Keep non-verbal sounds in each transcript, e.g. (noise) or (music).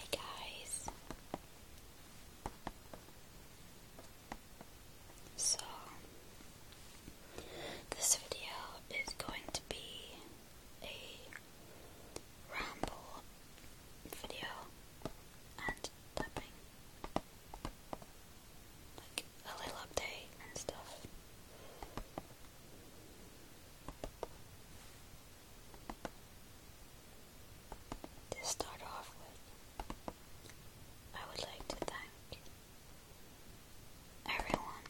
Hey guys. So, this video is going to be a ramble video and Like a little update and stuff. To start off I would like to thank everyone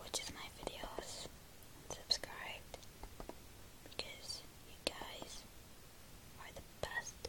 watches my videos and because you guys are the best.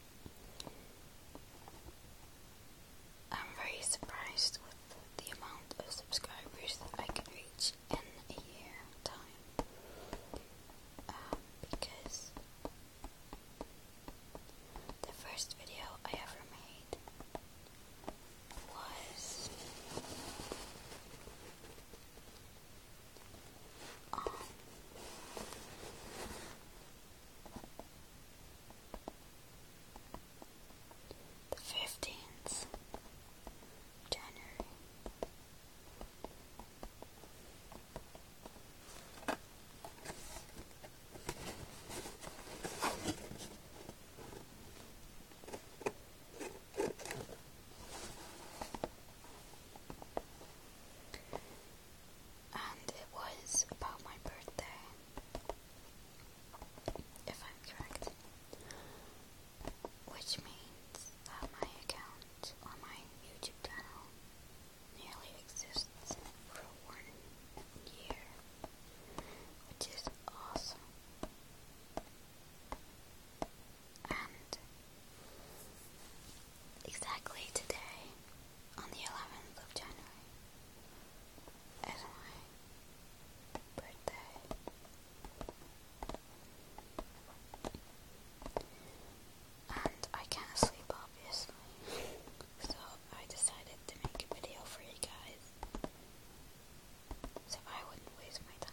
I'm very surprised with the amount of subscribers that I can reach in a year time. Um, because the first video I ever made was the fifteenth January and it was about my birthday, if I'm correct, which means that my account on my YouTube channel nearly exists for one year, which is awesome. And exactly today, on the 11th of January, is my birthday. And I can't sleep, obviously. (laughs) so I decided to make a video for you guys. So I wouldn't waste my time.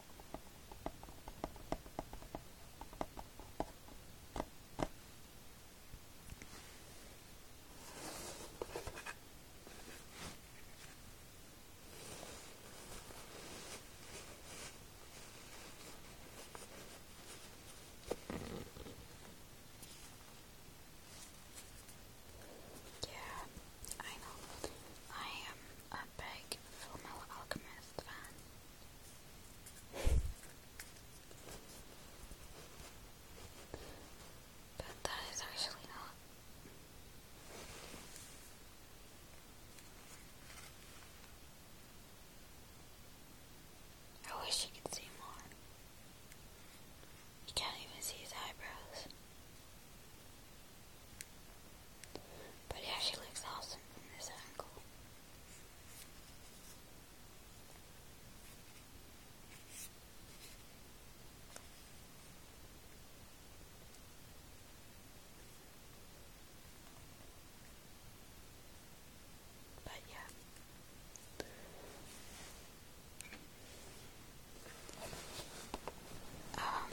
Yeah, I know. I am a big Full Alchemist but that is actually not. I wish you could see more. You can't even see his eyebrows. But yeah, she looks awesome from this angle. But yeah. Um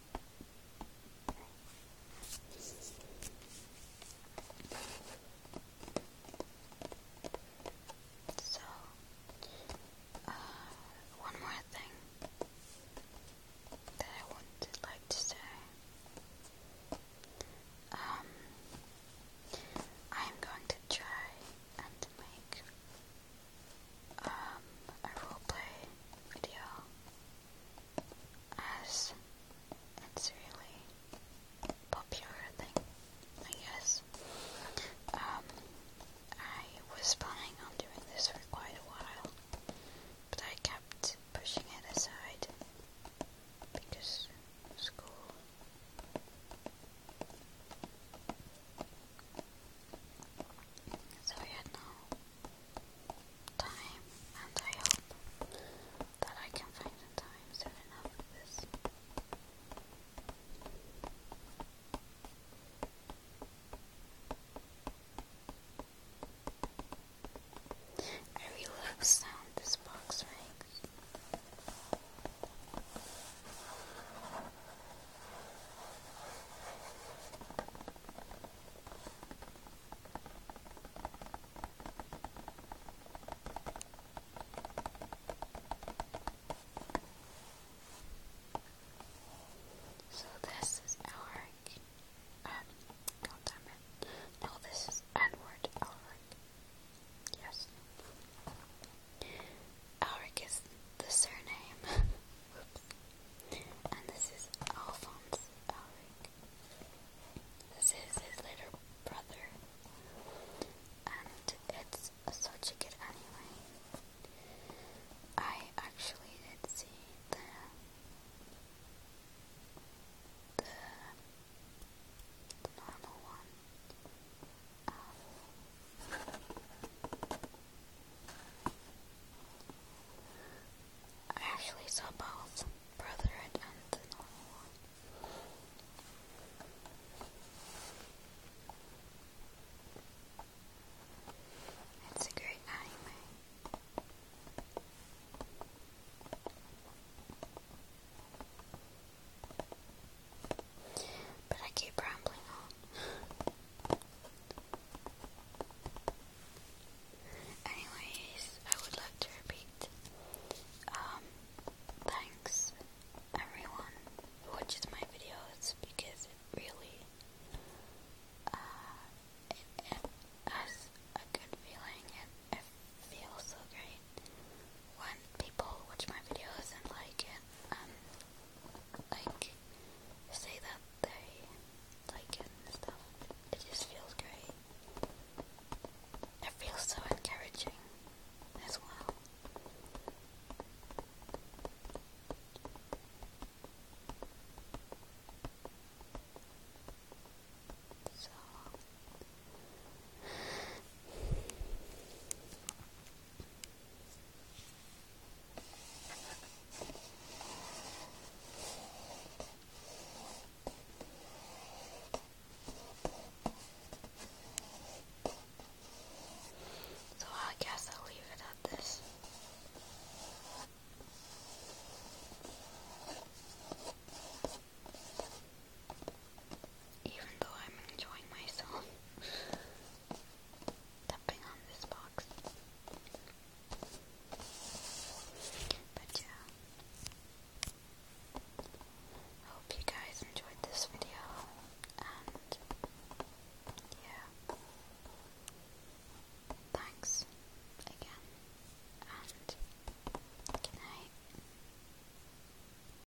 So, uh, one more thing that I would like to say. Um, I am going to try and make um, a roleplay video as it's really popular thing, I guess. Um, I was planning on doing this for quite a while, but I kept pushing it aside because school. So I had time, and I hope that I can find the time soon enough for this. I really sound this box makes. So this is Elric. Um, damn it. No, this is Edward Elric. Yes. Elric is the surname. (laughs) And this is Alphonse Alric. This is his later brother. And it's such a good anime. I actually did see the the, the normal one. Um, I actually saw both brother and the It's a great anime. But I keep rambling on. Anyways, I would like to repeat um, thanks everyone who watches my videos because it really uh, it, it has a good feeling and it feels so great when people watch my videos and like it. Um, like say that they like it and stuff. It just feels great. It feels so encouraging as well. So so I guess I'll leave it at this even though I'm enjoying myself (laughs) tapping on this box. But yeah. Hope you guys enjoyed this video and yeah. Thanks again and good